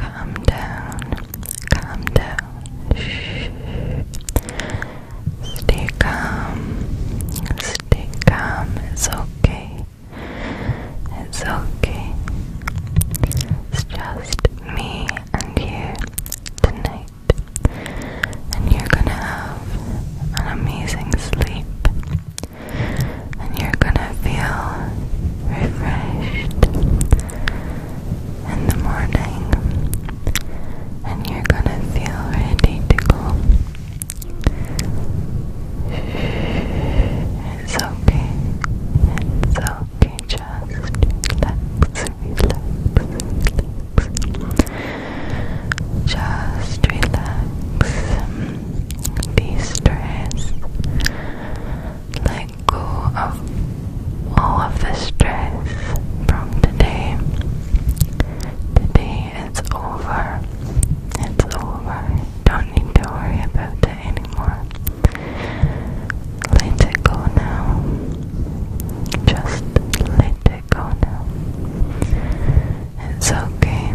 Calm down, calm down. Stay calm, stay calm. It's okay, it's okay. It's just me and you tonight, and you're gonna have an amazing sleep and you're gonna feel refreshed in the morning, and you're gonna feel ready to go. It's okay, it's okay, just relax, relax, relax. Just relax, de stress let go of all of the stress from today. Today it's over. It's over. Don't need to worry about it anymore. Let it go now. Just let it go now. It's okay.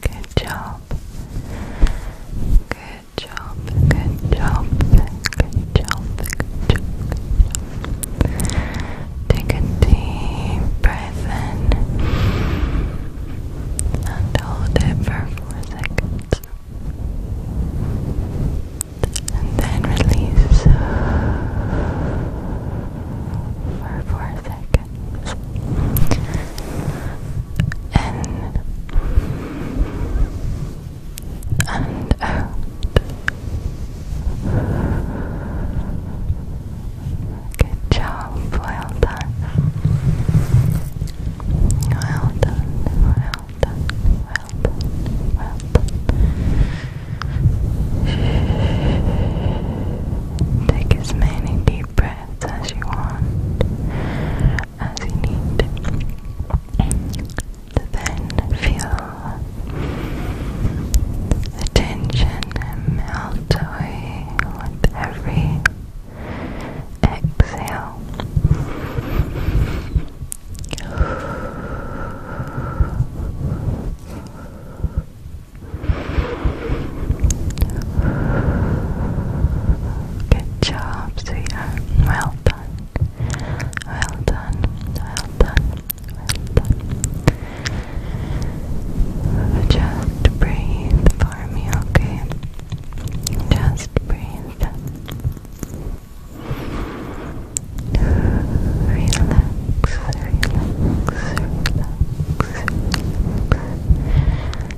Good job. Good job. Good job. Good job. Take a deep breath in and hold it for four seconds. And then release for four seconds seconds. In and out. Good job. Well done. Well done. Well done. Well done. Well done. Take as many deep breaths as you want, as you need. Then feel the tension melt away with every exhale. Good job, sweetheart. Well done. Well done. Well done. Well done. Just breathe for me, okay? Just breathe. Relax, relax, relax,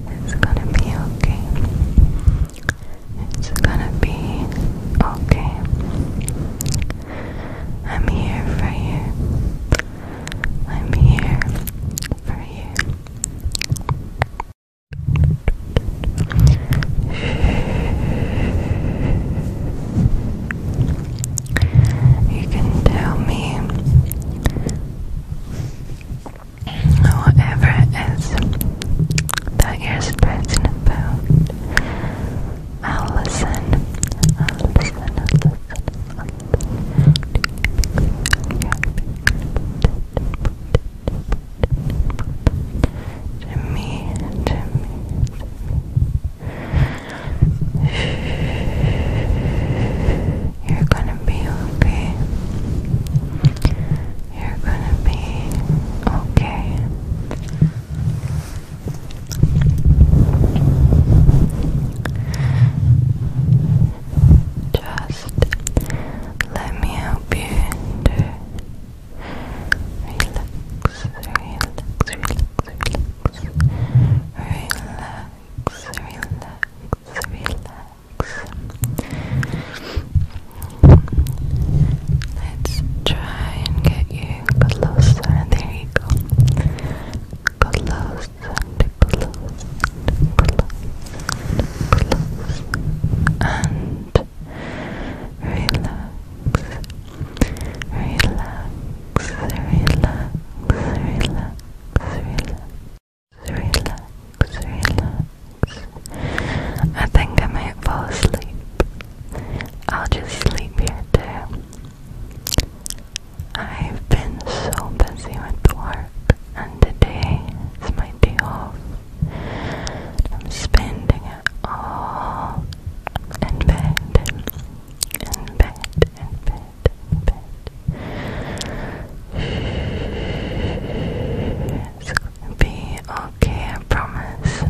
it's gonna be okay. It's gonna be okay. I'm here for you. I'm here for you. You can tell me Whatever it is that you're stressing about, I'll listen. I'll you're gonna be okay. You're gonna be okay. Just let me help you relax, relax, relax, relax, relax, relax. Let's try and get you closer. There you go. Close and close, relax, relax, relax, relax, relax relax, relax. I think I might fall asleep. I'll just sleep here too. I've been so busy with work, and today is my day off. I'm spending it all in bed, in bed, in bed bed. It's be okay, I promise.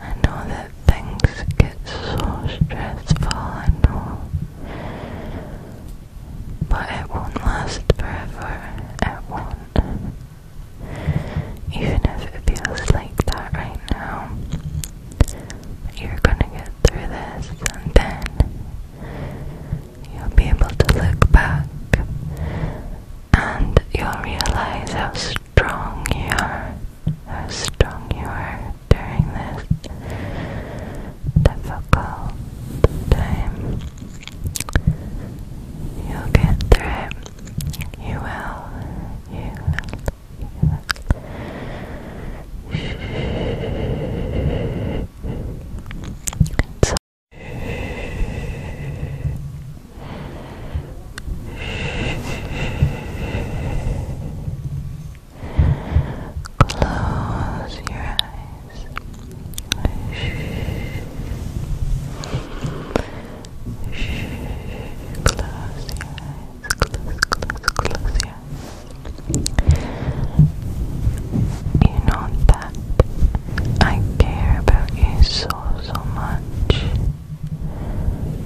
I know that things get so stressful, I know. But it won't last forever. It won't. Even if it feels like that right now, you're gonna get through this and then You'll be able to look back and you'll realize how strong you are, how strong you are during this difficult time. You'll get through it. You will. You will. So Close your eyes. Close your eyes. Close, close, close you know that I care about you so, so much.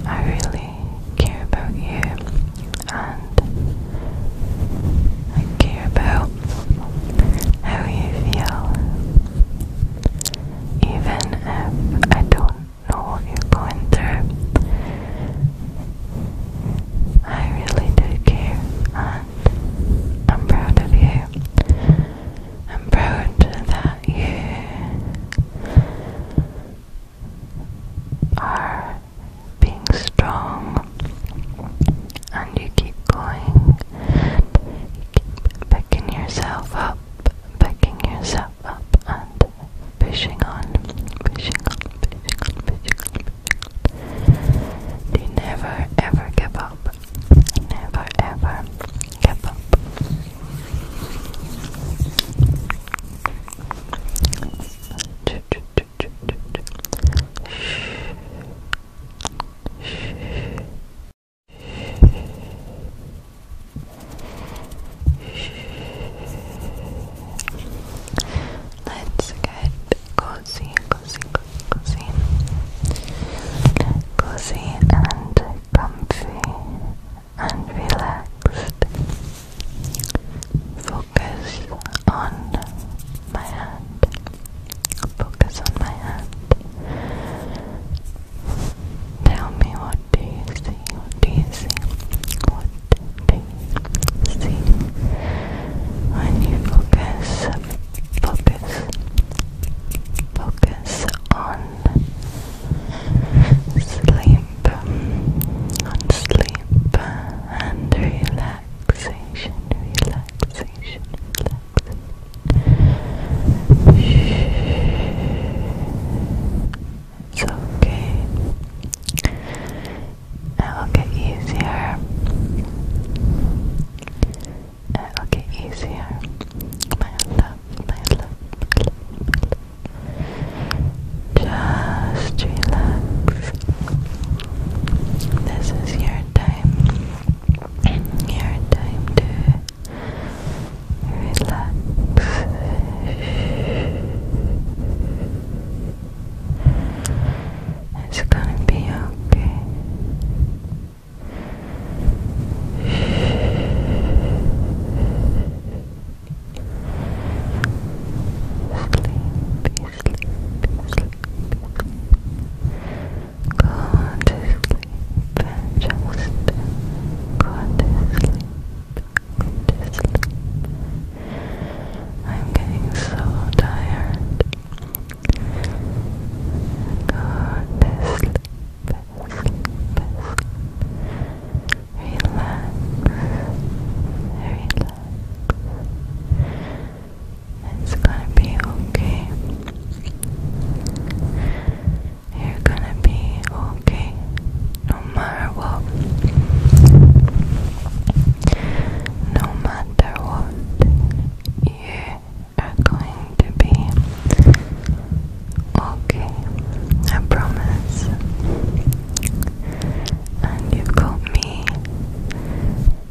I really care about you and I care about how you feel. Even if I don't know what you're going through, I really do care and I'm proud of you. I'm proud that you are being strong and you keep going. You keep picking yourself up, picking yourself up and pushing on, pushing on, pushing on, pushing on, do never ever give up. Never ever give up. Let's get cozy, cozy, cozy, cozy, and comfy, and relaxed. Focus on my hand. Focus on my hand. Tell me what do you see? What do you see? What do See, when you focus, focus, focus on sleep, on sleep and relaxation, relaxation, It's okay. It'll get easier. It'll get easier. My love, my love, Just relax. This is your time. Your time to relax. It's gonna be okay. Sleepy, sleepy, sleepy. Go to sleep just go sleep. Go sleep. I'm getting so tired. Go to sleep, sleep, Relax, relax. It's gonna be okay. You're gonna be okay no matter what. No matter what, you are going to be okay. I promise. And you've got me,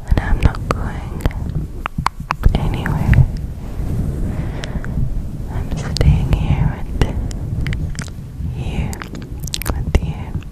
and I'm not going anywhere. I'm staying here with you, with you.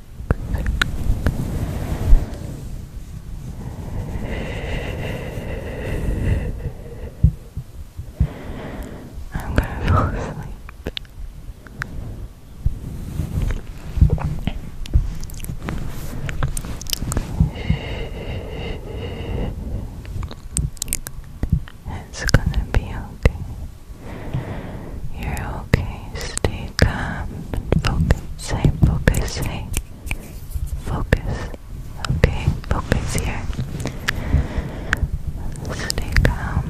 I'm gonna fall asleep. It's gonna be okay. You're Okay, stay calm and focus. Say, focus, say, focus. Okay, focus here. Stay calm.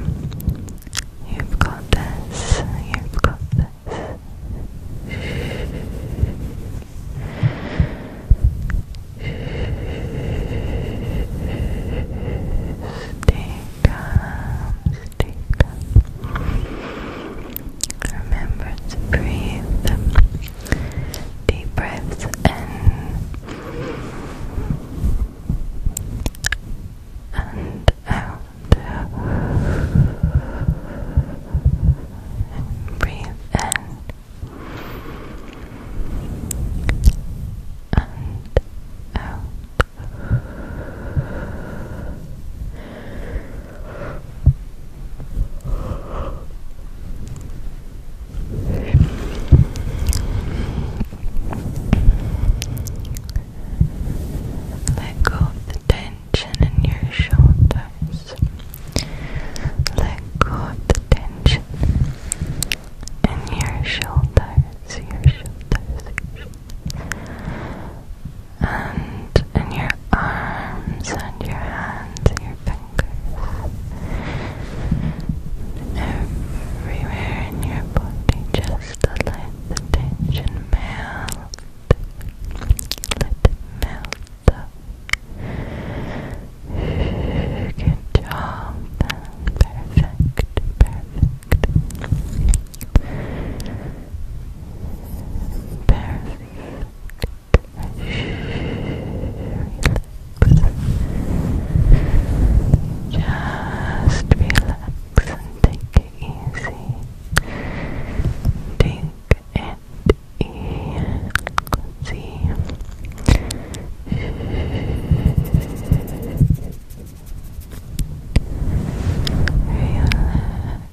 You've got this. You've got this. Stay calm, stay calm. Remember to breathe deep breaths in and out. breathe in and out. Let go of the tension in your shoulders. Let go of the tension in your shoulders, your shoulders, and in your arms and your hands and your fingers, everywhere in your body, just let the tension melt, let it melt up. Good job, perfect, perfect. Just relax and take it easy. Take it easy. Relax.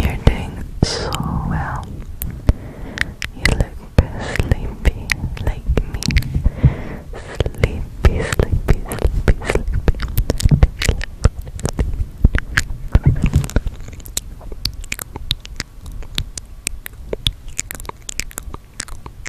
You're doing so well. You look sleepy like me. Sleepy, sleepy, sleepy, sleepy,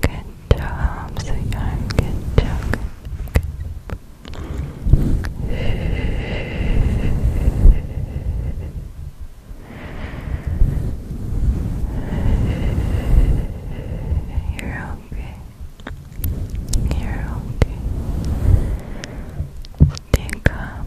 Good job, sweetheart. Good Good job. You're okay. You're okay. Stay calm.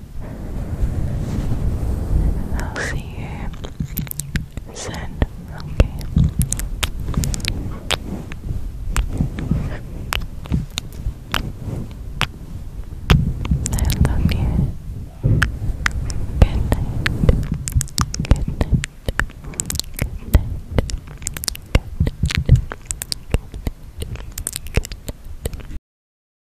I'll see you soon, okay? I love you. Good night. Good night. Good night. Good night. Good night. Good night.